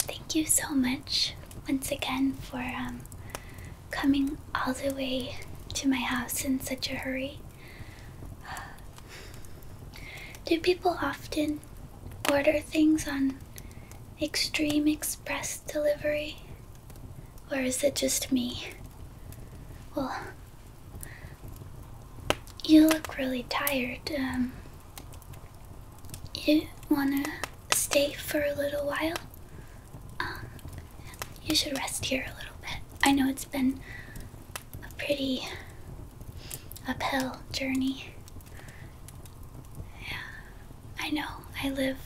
Thank you so much once again for um, coming all the way to my house in such a hurry. Do people often order things on extreme express delivery? Or is it just me? Well, you look really tired. Um, you want to stay for a little while? Um, you should rest here a little bit. I know it's been a pretty uphill journey. Yeah, I know. I live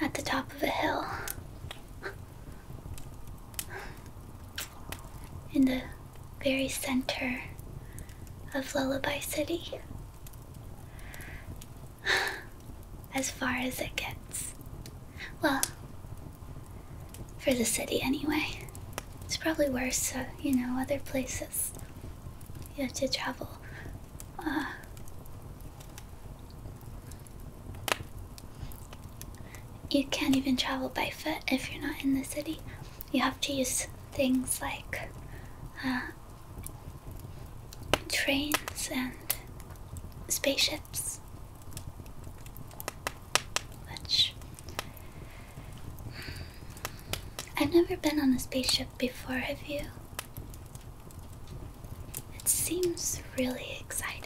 at the top of a hill. In the very center of Lullaby City. As far as it gets. Well, for the city, anyway. It's probably worse, you know, other places. You have to travel. Uh, you can't even travel by foot if you're not in the city. You have to use things like uh, trains and spaceships. Which. Mm, I've never been on a spaceship before, have you? It seems really exciting.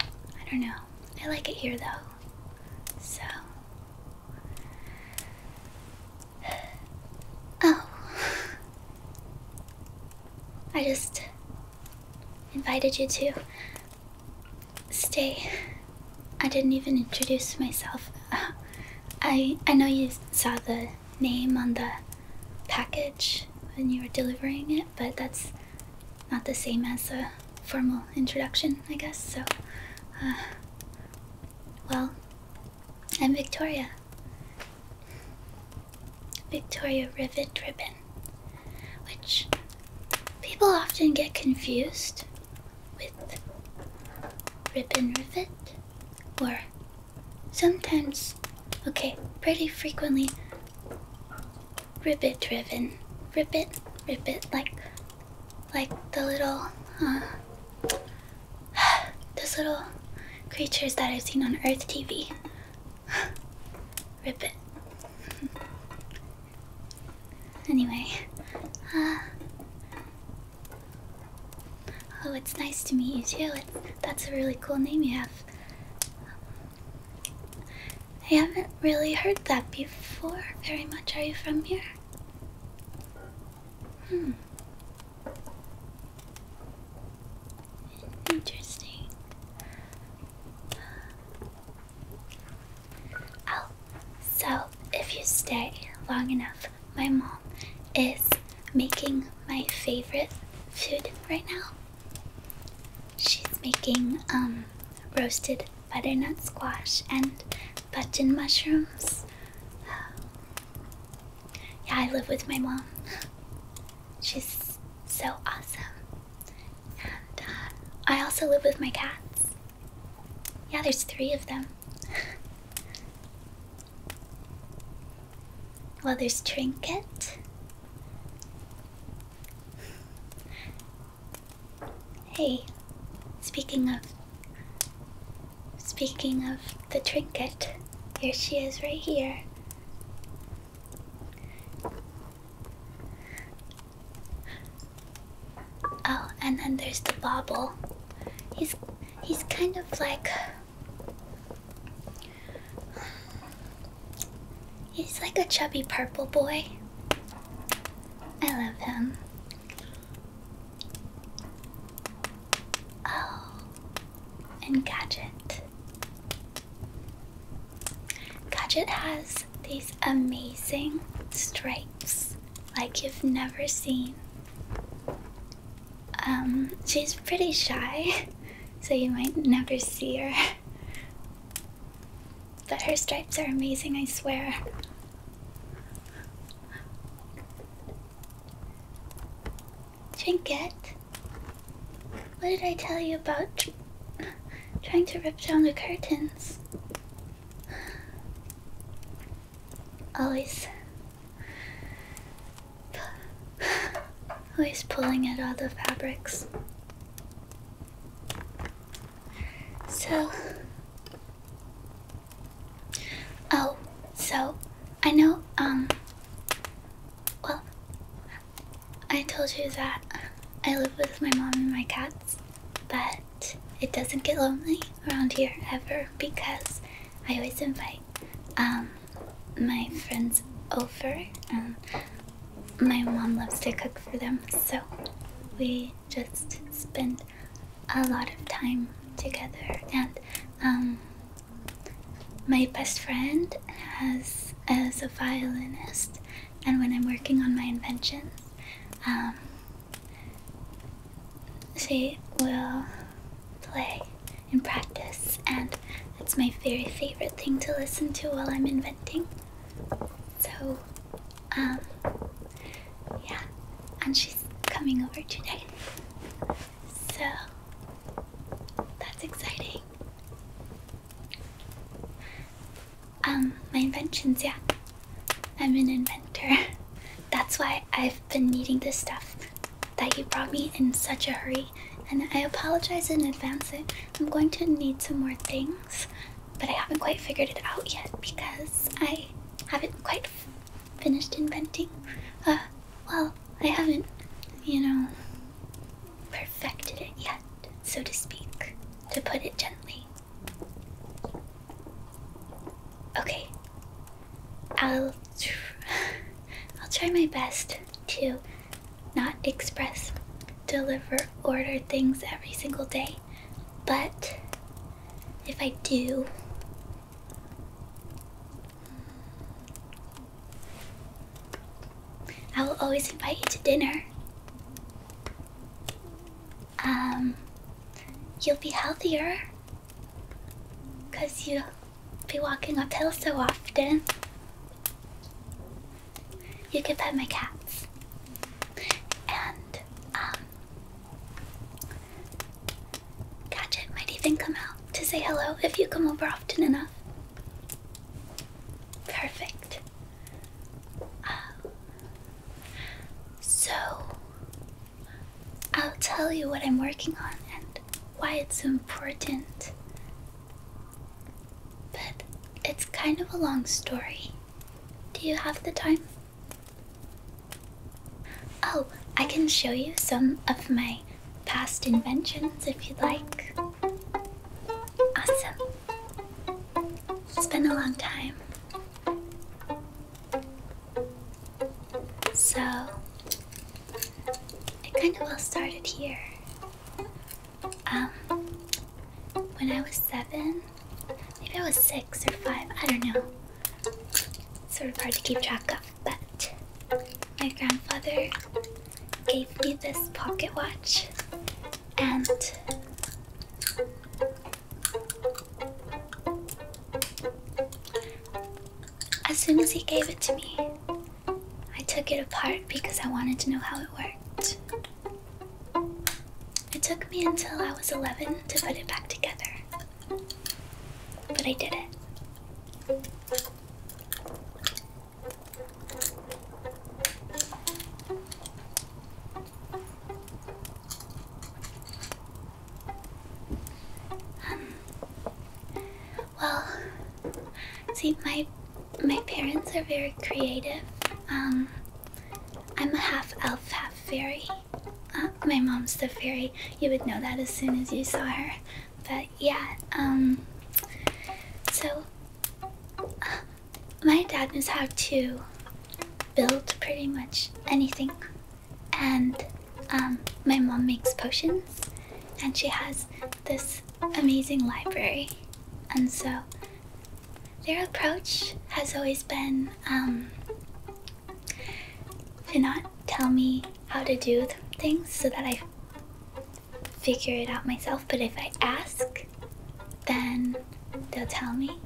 I don't know. I like it here though. So. Oh. I just invited you to. Stay. I didn't even introduce myself. I I know you saw the name on the package when you were delivering it, but that's not the same as a formal introduction, I guess. So, uh, well, I'm Victoria. Victoria Rivet Ribbon which people often get confused with Rip and Rivet, or sometimes, okay, pretty frequently, ribbit driven, ribbit, ribbit, like, like the little, uh, those little creatures that I've seen on Earth TV. Rip it. anyway, uh, oh, it's nice to meet you too. that's a really cool name you have. I haven't really heard that before very much. Are you from here? Hmm. Interesting. Oh, so if you stay long enough, my mom is making my favorite food right now. She's making um roasted butternut squash and button mushrooms. Yeah, I live with my mom. She's so awesome. Uh, I also live with my cats. Yeah, there's three of them. well, there's Trinket. Hey, speaking of. Speaking of the trinket, here she is right here. Oh, and then there's the bobble. He's he's kind of like He's like a chubby purple boy. I love him. Oh, and Gadget. Gadget has these amazing stripes like you've never seen. Um, she's pretty shy, so you might never see her. But her stripes are amazing, I swear. Trinket? What did I tell you about trying to rip down the curtains. Always. Always pulling at all the fabrics. So. Oh, so I know, um. Well, I told you that I live with my mom and my cats but it doesn't get lonely around here ever because I always invite um, my friends over and my mom loves to cook for them so we just spend a lot of time together and um, my best friend has as a violinist and when I'm working on my inventions, she um, will play and practice, and it's my very favorite thing to listen to while I'm inventing. So, um, yeah, and she's coming over today. So, that's exciting. Um, my inventions, yeah. I'm an inventor. That's why I've been needing this stuff that you brought me in such a hurry. And I apologize in advance. I'm going to need some more things, but I haven't quite figured it out yet because I haven't quite finished inventing. Uh, well, I haven't, you know, perfected it yet, so to speak, to put it gently. Okay. I'll I'll try my best to not express deliver order things every single day. But if I do I will always invite you to dinner um, you'll be healthier because you'll be walking uphill so often. You can pet my cats. And, um, Gadget might even come out to say hello if you come over often enough. Perfect. Uh, so, I'll tell you what I'm working on and why it's so important. But it's kind of a long story. Do you have the time? Oh, I can show you some of my past inventions if you'd like. Awesome. It's been a long time. So, it kind of all started here. Um, when I was seven, maybe I was six or five, I don't know. It's sort of hard to keep track of, but my grandfather gave me this pocket watch and as soon as he gave it to me, I took it apart because I wanted to know how it worked. It took me until I was 11 to put it back together, but I did it well, see, my my parents are very creative. Um, I'm a half elf, half fairy. Uh, my mom's the fairy. You would know that as soon as you saw her. But yeah, um, so. Uh, my dad knows how to build pretty much anything, and um, my mom makes potions, and she has this amazing library, and so their approach has always been um, to not tell me how to do things so that I figure it out myself, but if I ask, then they'll tell me.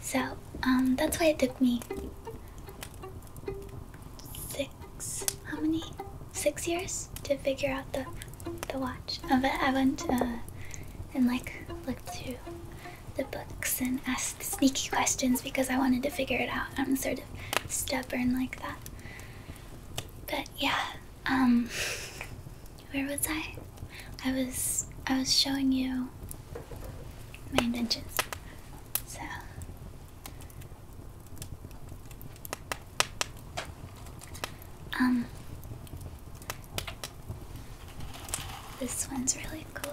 So um, that's why it took me six, how many, six years to figure out the the watch. Uh, but I went uh, and like looked through the books and asked sneaky questions because I wanted to figure it out. I'm sort of stubborn like that. But yeah, um, where was I? I was I was showing you my inventions. So um this one's really cool.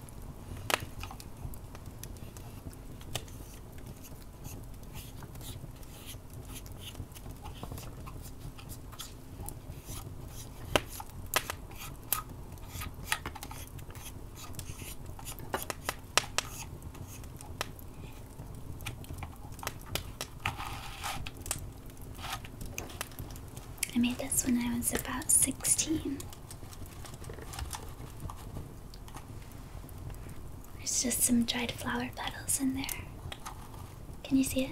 I made this when I was about 16. There's just some dried flower petals in there. Can you see it?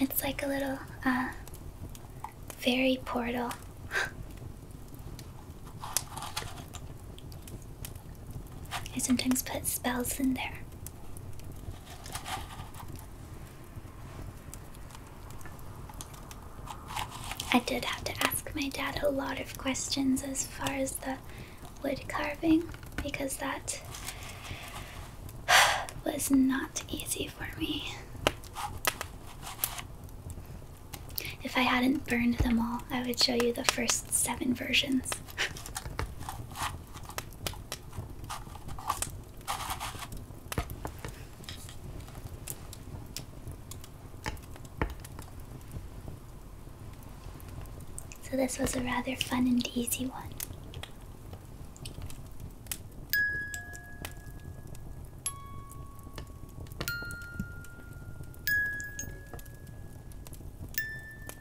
It's like a little, uh, fairy portal. I sometimes put spells in there. I did have to ask my dad a lot of questions as far as the wood carving because that was not easy for me. If I hadn't burned them all, I would show you the first seven versions. So, this was a rather fun and easy one.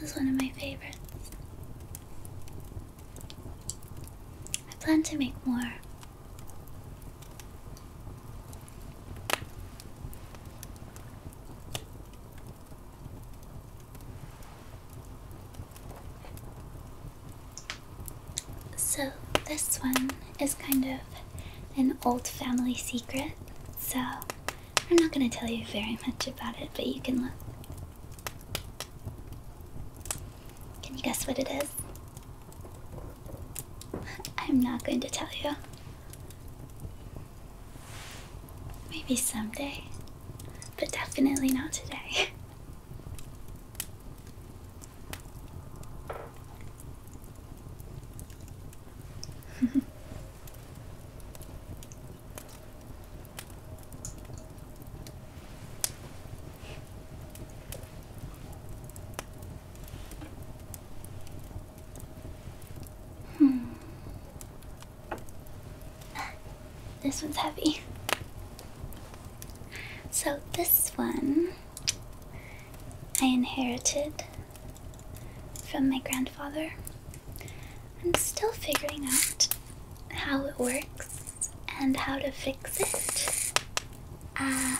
This is one of my favorites. I plan to make more. So, this one is kind of an old family secret, so I'm not going to tell you very much about it, but you can look. Can you guess what it is? I'm not going to tell you. Maybe someday, but definitely not today. hmm. This one's heavy. So, this one I inherited from my grandfather. I'm still figuring out how it works and how to fix it. Uh,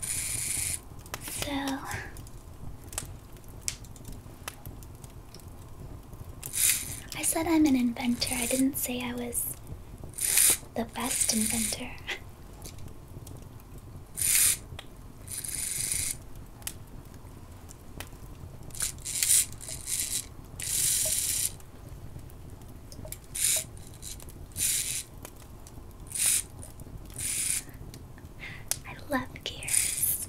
so, I said I'm an inventor. I didn't say I was the best inventor. I love gears.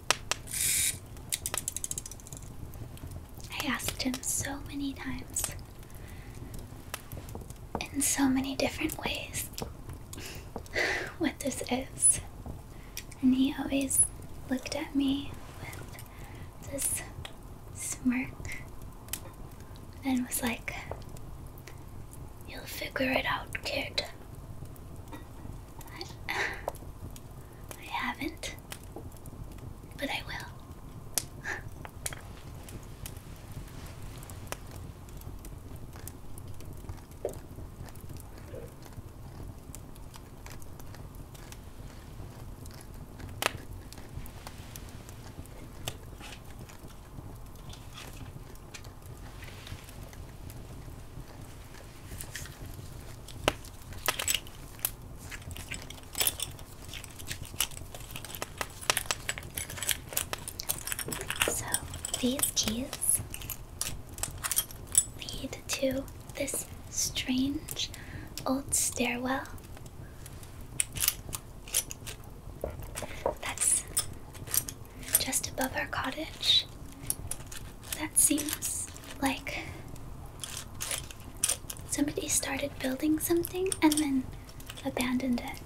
I asked him so many times in so many different ways what this is, and he always looked at me with this smirk and was like, You'll figure it out, kid. I, haven't. But I will. So these keys lead to this strange old stairwell that's just above our cottage that seems like somebody started building something and then abandoned it.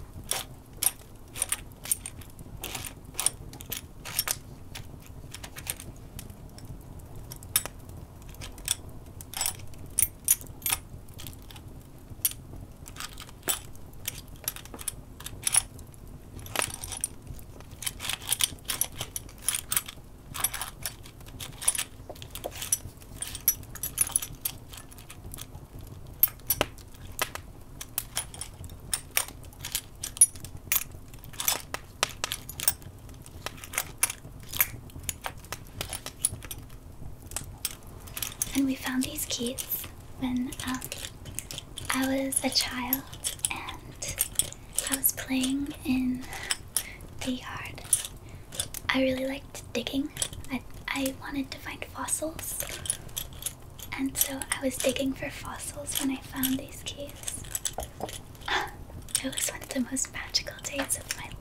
And we found these keys when um, I was a child, and I was playing in the yard. I really liked digging. I, wanted to find fossils. And so I was digging for fossils when I found these keys. It was one of the most magical days of my life.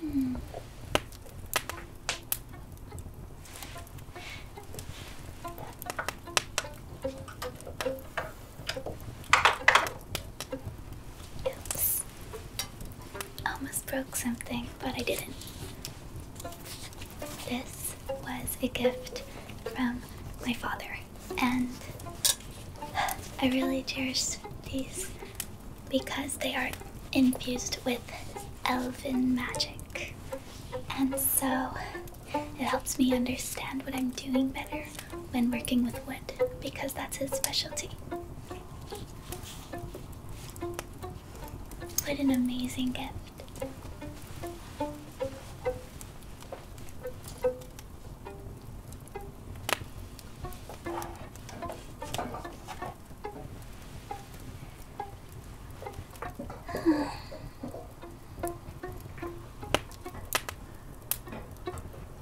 Hmm. Oops. Almost broke something, but I didn't. This was a gift from my father, and I really cherish these because they are infused with elven magic. And so it helps me understand what I'm doing better when working with wood because that's his specialty. What an amazing gift.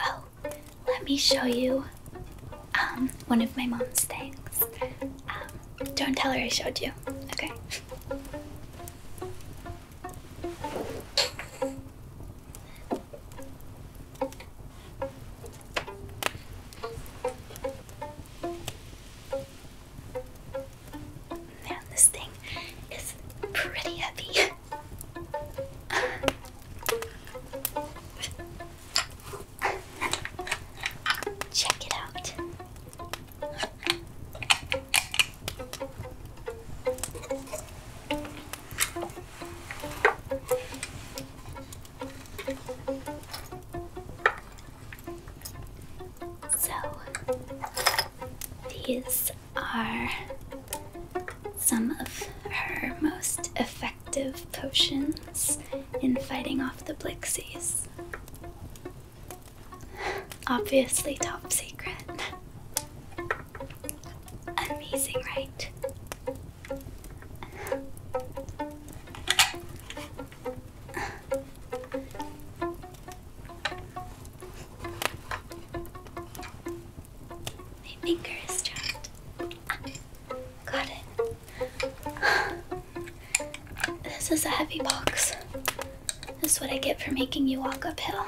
Oh, let me show you um one of my mom's things. Um, don't tell her I showed you. Okay. Man, this thing is pretty heavy. Check it out. So, these are some of her most effective potions in fighting off the Blixies. Obviously, top secret. Amazing, right? My finger is trapped. got it. This is a heavy box. This is what I get for making you walk uphill.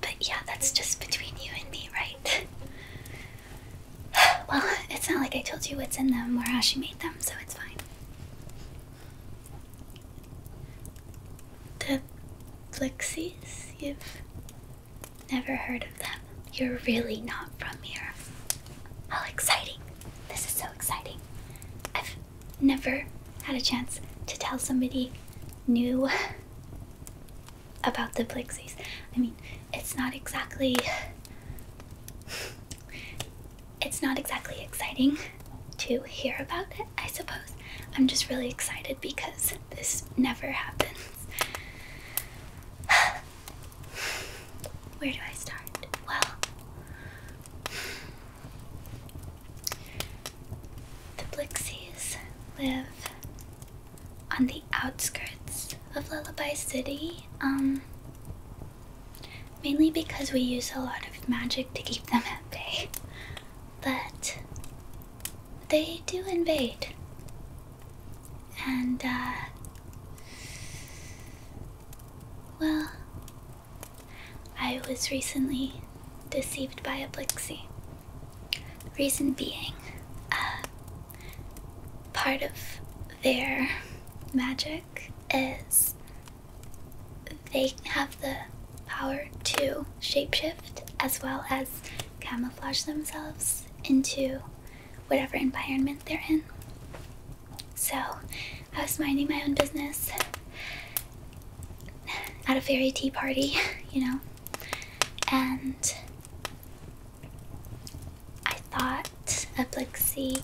But yeah, that's just between you and me, right? well, it's not like I told you what's in them or how she made them, so it's fine. The Blixies? You've never heard of them. You're really not from here. How exciting! This is so exciting. I've never had a chance to tell somebody new about the Blixies. I mean, it's not exactly. It's not exactly exciting to hear about it. I suppose. I'm just really excited because this never happens. Where do I start? Well, the Blixies live on the outskirts of Lullaby City, um, mainly because we use a lot of magic to keep them at bay. But they do invade. And, uh, Well, I was recently deceived by a Blixie. Reason being, uh, part of their magic is they have the power to shapeshift as well as camouflage themselves into whatever environment they're in. So I was minding my own business at a fairy tea party, you know, and I thought Eplexi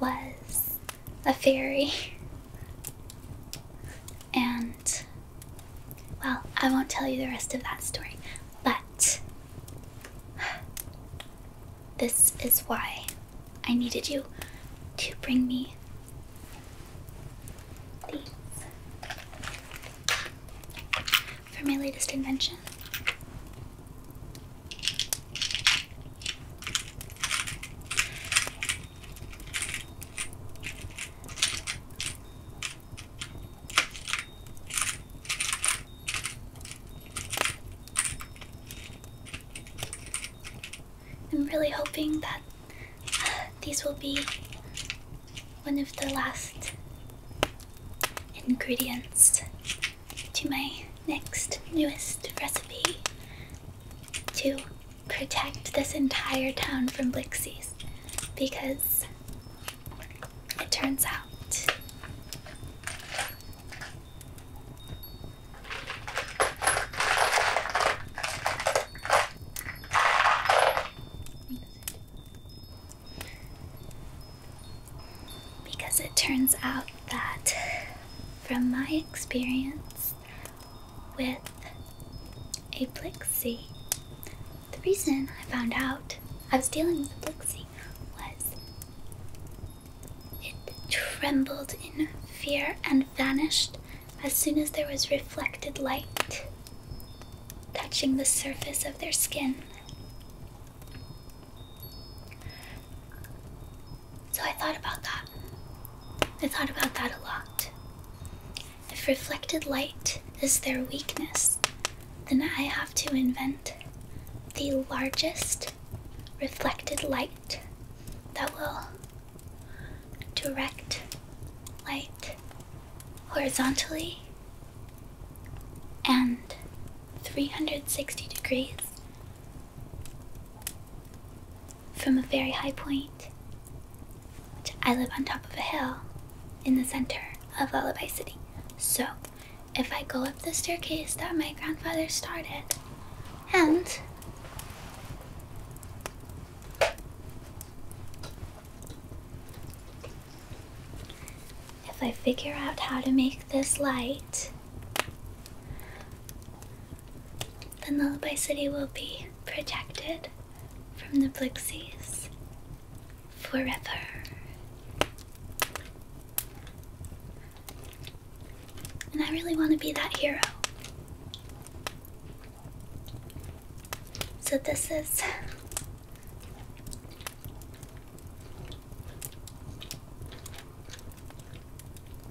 was a fairy. And well, I won't tell you the rest of that story, but this is why I needed you to bring me these for my latest invention. I'm really hoping that uh, these will be one of the last ingredients to my next newest recipe to protect this entire town from Blixies because it turns out because it turns out that from my experience with a Blixie. The reason I found out I was dealing with a Blixie was it trembled in fear and vanished as soon as there was reflected light touching the surface of their skin. So I thought about that. I thought about that a lot. If reflected light is their weakness, then I have to invent the largest reflected light that will direct light horizontally and 360 degrees from a very high point. I live on top of a hill in the center of Lullaby City. So, if I go up the staircase that my grandfather started, and if I figure out how to make this light, then Lullaby City will be protected from the Blixies forever. And I really want to be that hero. So this is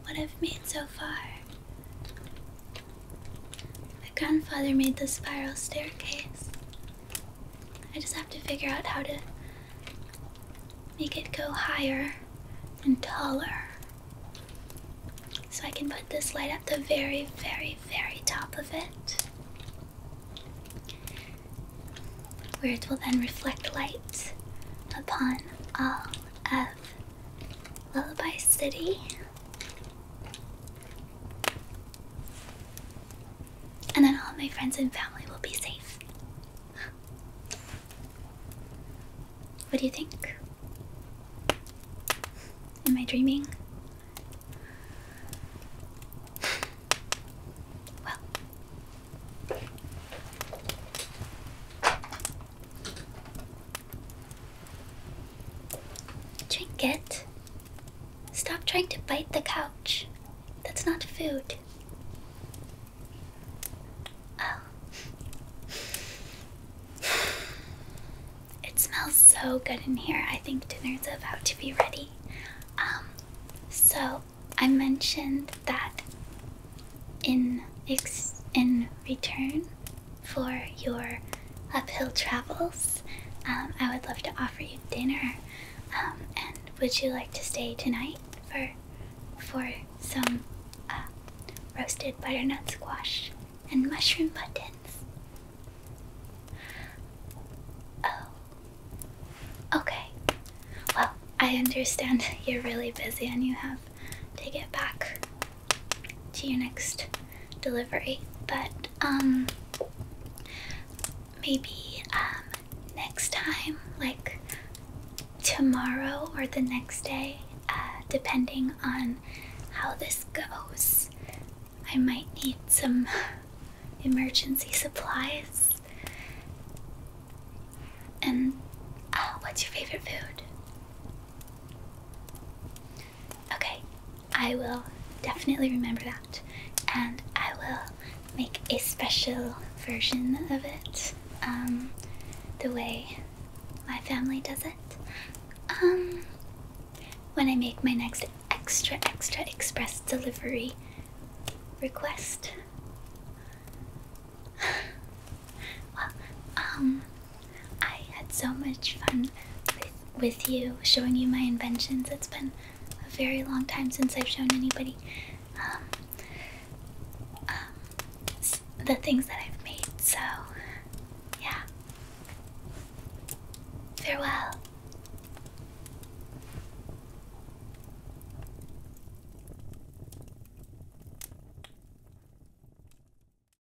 what I've made so far. My grandfather made the spiral staircase. I just have to figure out how to make it go higher and taller. So I can put this light at the very, very, very top of it. Where it will then reflect light upon all of Lullaby City. And then all my friends and family will be safe. What do you think? Am I dreaming? Well, Trinket, stop trying to bite the couch. That's not food. Oh. It smells so good in here. I think dinner's about to be ready. Um, so I mentioned that in ex in return for your uphill travels. Um, I would love to offer you dinner. Um, and would you like to stay tonight for for some uh, roasted butternut squash and mushroom buttons? Oh. Okay. Well, I understand you're really busy and you have to get back to your next delivery. But um maybe um next time, like tomorrow or the next day, uh, depending on how this goes, I might need some emergency supplies. And uh, what's your favorite food? Okay, I will definitely remember that, and I will make a special version of it, um, the way my family does it. Um, when I make my next extra extra express delivery request. well, um, I had so much fun with, you, showing you my inventions. It's been a very long time since I've shown anybody um, um, the things that I've made. So, yeah. Farewell.